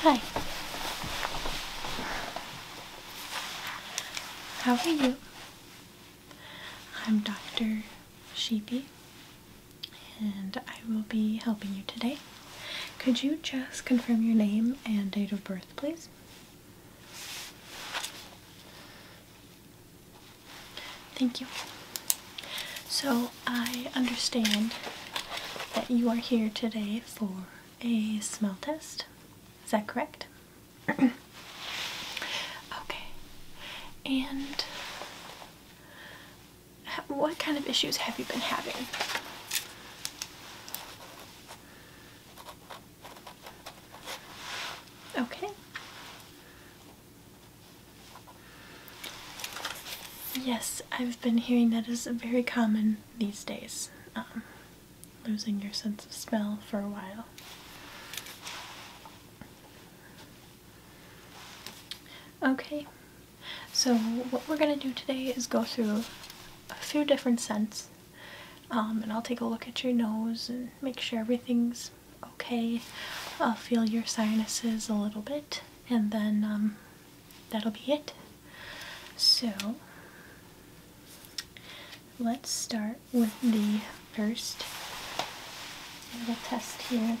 Hi. How are you? I'm Dr. Sheepy and I will be helping you today. Could you just confirm your name and date of birth, please? Thank you. So I understand that you are here today for a smell test. Is that correct? okay. And what kind of issues have you been having? Okay. Yes, I've been hearing that is very common these days, um, losing your sense of smell for a while. Okay, so what we're going to do today is go through a few different scents um, and I'll take a look at your nose and make sure everything's okay. I'll feel your sinuses a little bit and then um, that'll be it. So let's start with the first little test here.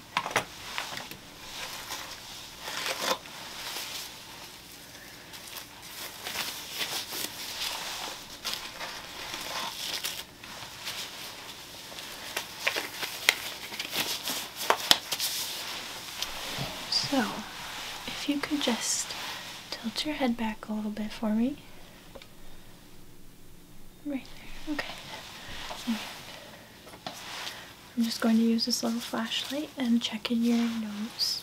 So, if you could just tilt your head back a little bit for me. Right there, okay. I'm just going to use this little flashlight and check in your nose.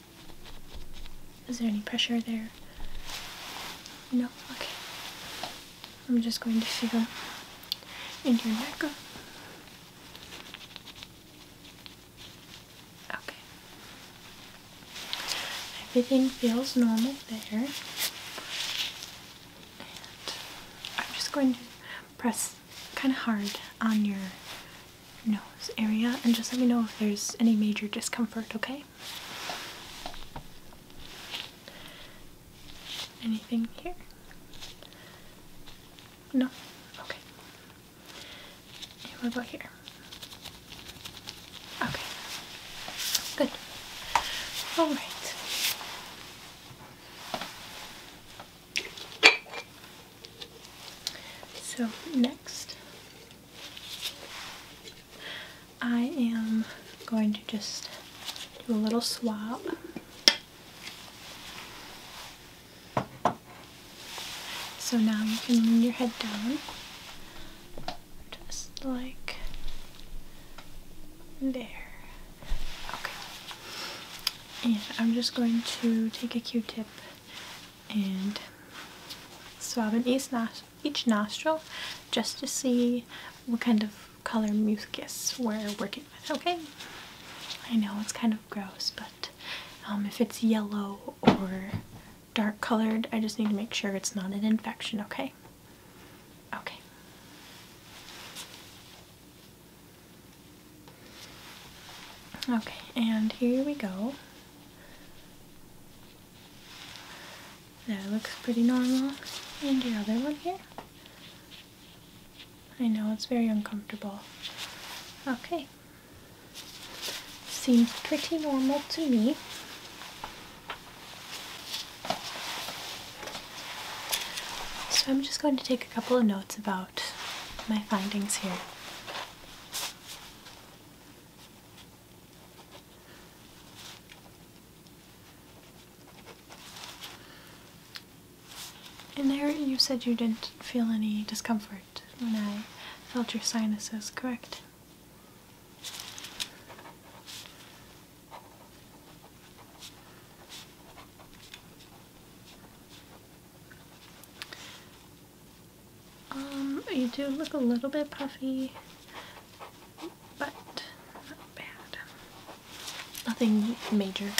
Is there any pressure there? No? Okay. I'm just going to feel in your neck. Okay. Everything feels normal there. And I'm just going to press kind of hard on your nose area and just let me know if there's any major discomfort, okay? Anything here? No? Okay. what about here? Okay. Good. Alright. So, next, I am going to just do a little swab. So now you can lean your head down just like there. Okay. And I'm just going to take a q-tip and swabbing each, each nostril just to see what kind of color mucus we're working with, okay? I know it's kind of gross, but um, if it's yellow or dark colored, I just need to make sure it's not an infection, okay? Okay. Okay, and here we go. That looks pretty normal. And your other one here. I know, it's very uncomfortable. Okay. Seems pretty normal to me. So I'm just going to take a couple of notes about my findings here. And there, you said you didn't feel any discomfort when I felt your sinuses, correct? Um, you do look a little bit puffy, but not bad. Nothing major.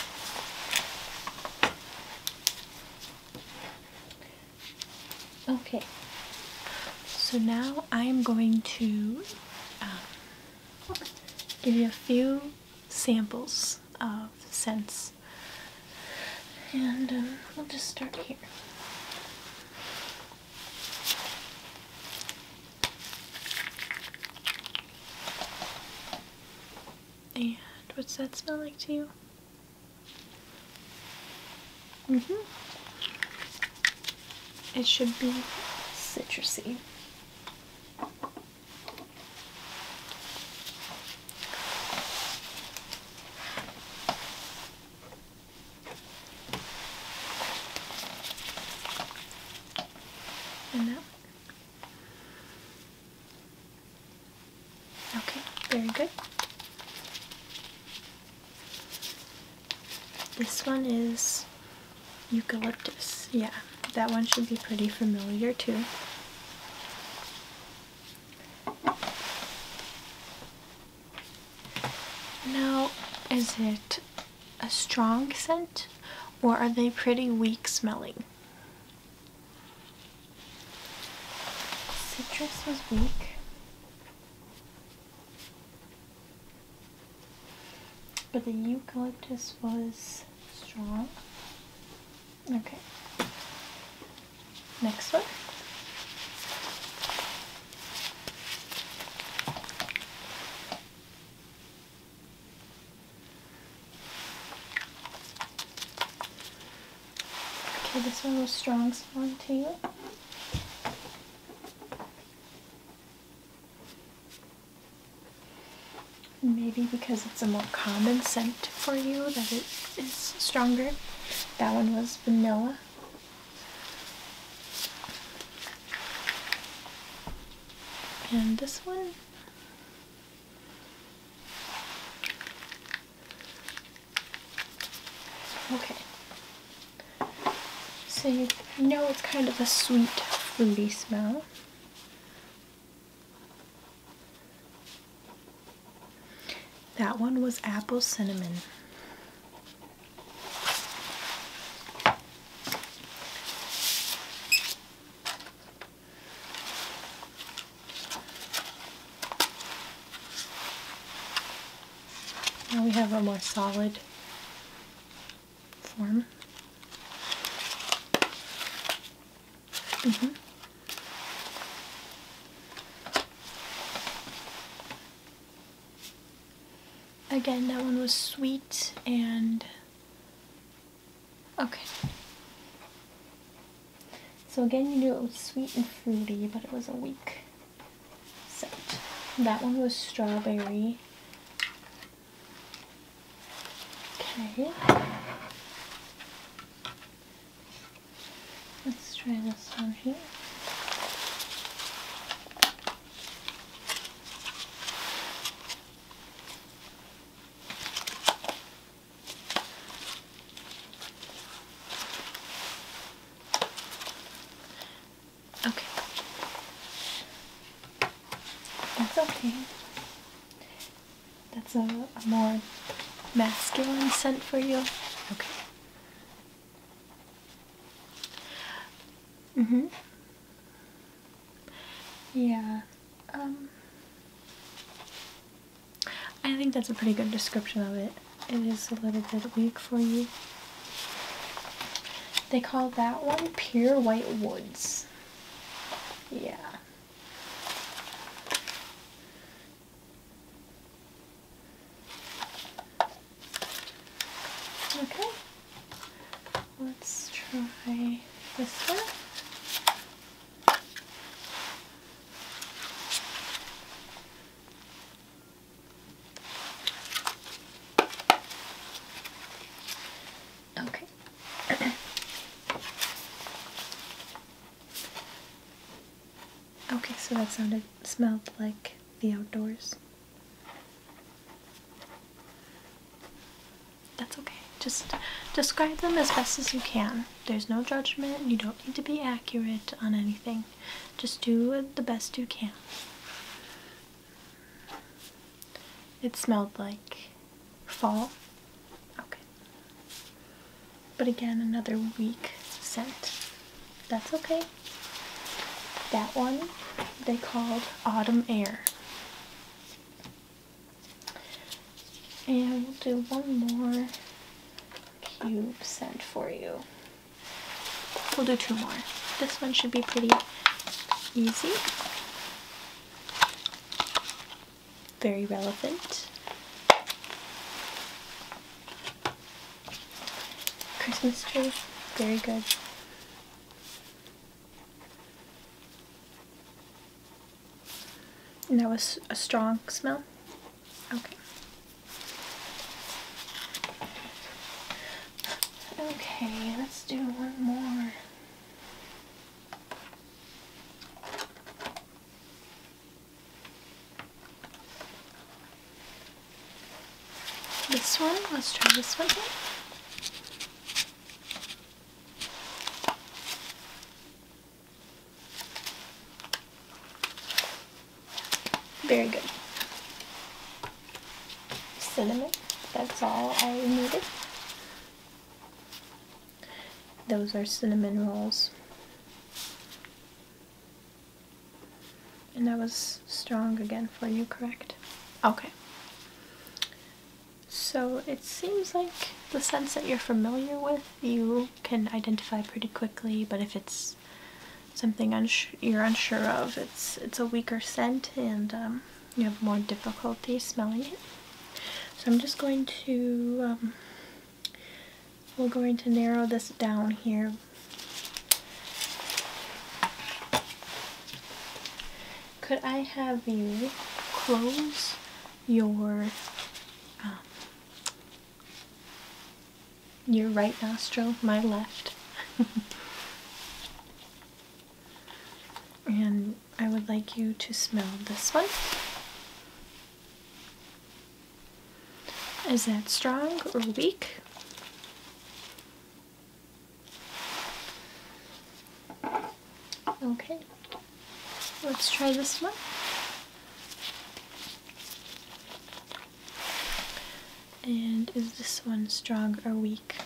Okay, so now I'm going to um, give you a few samples of scents and um, we'll just start here. And what's that smell like to you? hmm It should be citrusy. And that Okay, very good. This one is eucalyptus. Yeah, that one should be pretty familiar too. Now, is it a strong scent or are they pretty weak smelling? Citrus was weak. But the eucalyptus was strong. Okay. Next one. Okay, this one was strong one to you. Maybe because it's a more common scent for you that it is stronger. That one was vanilla. And this one Okay. So you know it's kind of a sweet fruity smell. That one was apple cinnamon. Now we have a more solid form. Mm-hmm. Again, that one was sweet and okay. So again, you knew it was sweet and fruity, but it was a weak scent. That one was strawberry. Okay. Let's try this one here. Okay. That's okay. That's a, more masculine scent for you? Okay. Mm hmm. Yeah. Um, I think that's a pretty good description of it. It is a little bit weak for you. They call that one pure white woods. Yeah. Okay, let's try this one. Okay. okay, so that sounded smelled like the outdoors. That's okay. Just describe them as best as you can. There's no judgment. You don't need to be accurate on anything. Just do the best you can. It smelled like fall. Okay. But again, another week scent. That's okay. That one they called Autumn Air. And we'll do one more cube scent for you. We'll do two more. This one should be pretty easy. Very relevant. Christmas tree, very good. And that was a strong smell? Okay. Okay, let's do one more. This one, let's try this one here. Very good. Cinnamon, that's all I needed. Those are cinnamon rolls. And that was strong again for you, correct? Okay. So it seems like the scents that you're familiar with, you can identify pretty quickly, but if it's something you're unsure of, it's, it's a weaker scent and um, you have more difficulty smelling it. So I'm just going to, um, we're going to narrow this down here. Could I have you close your um, your right nostril, my left. And I would like you to smell this one. Is that strong or weak? Okay, let's try this one. And is this one strong or weak?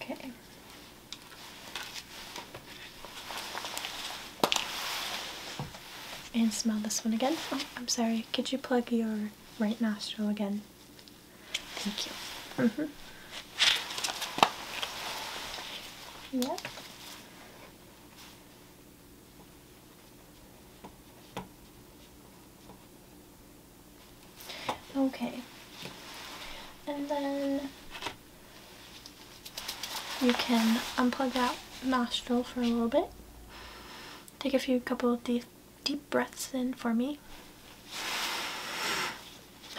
Okay. And smell this one again. Oh, I'm sorry. Could you plug your right nostril again? Thank you. Mm Okay. And then you can unplug that nostril for a little bit. Take a few couple of deep, deep breaths in for me.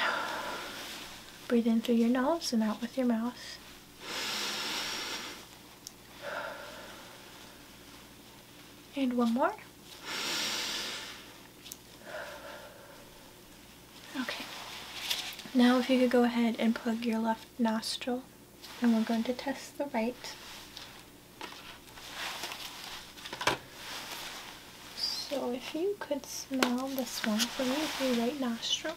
Breathe in through your nose and out with your mouth. And one more. Okay. Now if you could go ahead and plug your left nostril and we're going to test the right. So if you could smell this one from your right nostril.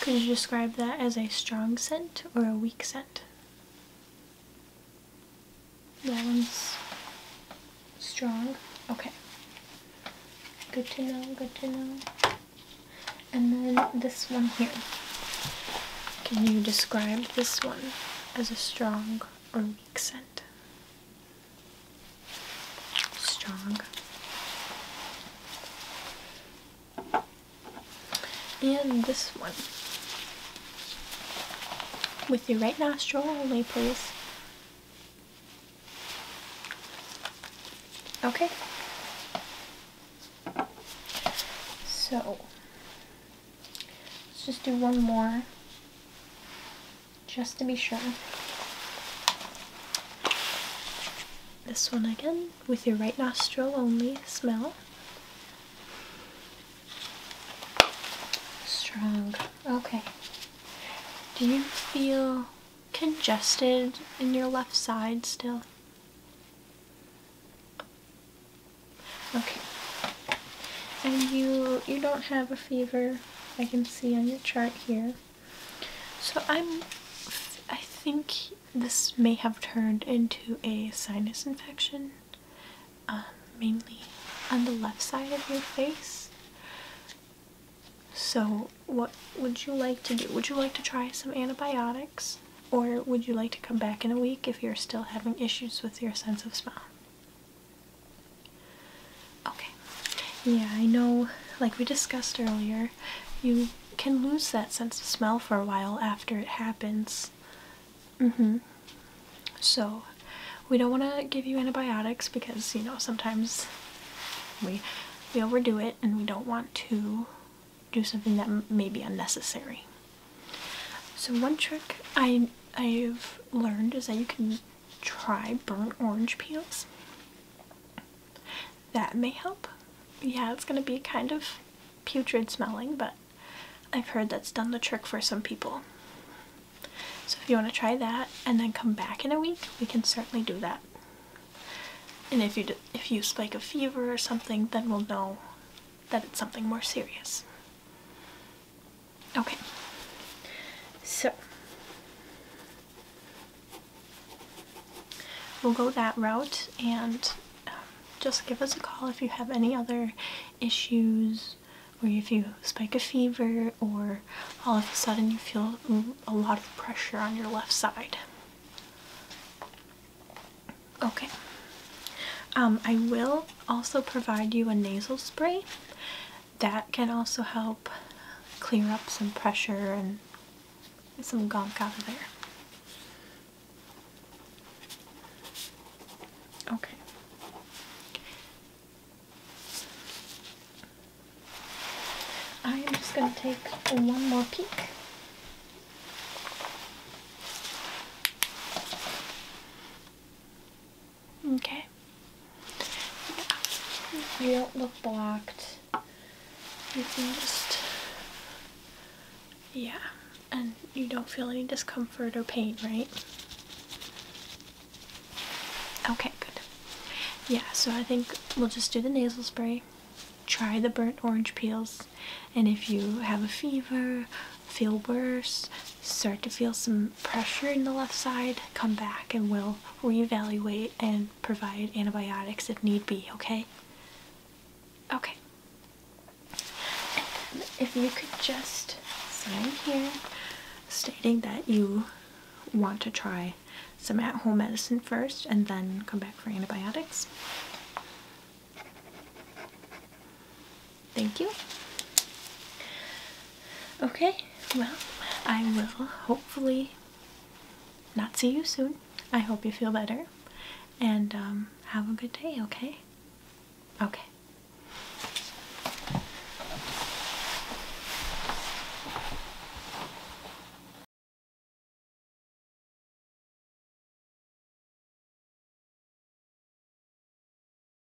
Could you describe that as a strong scent or a weak scent? That one's strong. Okay. Good to know, good to know. And then this one here. Can you describe this one as a strong or weak scent? strong. And this one. With your right nostril only, please. Okay. So, let's just do one more just to be sure. This one again, with your right nostril only smell. Strong. Okay. Do you feel congested in your left side still? Okay. And you you don't have a fever. I can see on your chart here. So I'm I think this may have turned into a sinus infection, um, mainly on the left side of your face. So what would you like to do? Would you like to try some antibiotics? Or would you like to come back in a week if you're still having issues with your sense of smell? Okay. Yeah, I know, like we discussed earlier, you can lose that sense of smell for a while after it happens. Mm hmm. So, we don't want to give you antibiotics because, you know, sometimes we, we overdo it and we don't want to do something that may be unnecessary. So, one trick I, I've learned is that you can try burnt orange peels. That may help. Yeah, it's going to be kind of putrid smelling, but I've heard that's done the trick for some people. So if you want to try that and then come back in a week, we can certainly do that. And if you, if you spike a fever or something, then we'll know that it's something more serious. Okay. So. We'll go that route and um, just give us a call if you have any other issues or if you spike a fever or all of a sudden you feel a lot of pressure on your left side. Okay. Um, I will also provide you a nasal spray that can also help clear up some pressure and some gunk out of there. Okay. I am just going to take one more peek. Okay. You don't look blocked. You can just, yeah. And you don't feel any discomfort or pain, right? Okay, good. Yeah, so I think we'll just do the nasal spray, try the burnt orange peels, and if you have a fever, feel worse, start to feel some pressure in the left side, come back and we'll reevaluate and provide antibiotics if need be, okay? Okay. if you could just sign here stating that you want to try some at home medicine first and then come back for antibiotics. Thank you. Okay, well, I will hopefully not see you soon. I hope you feel better and um, have a good day, okay? Okay.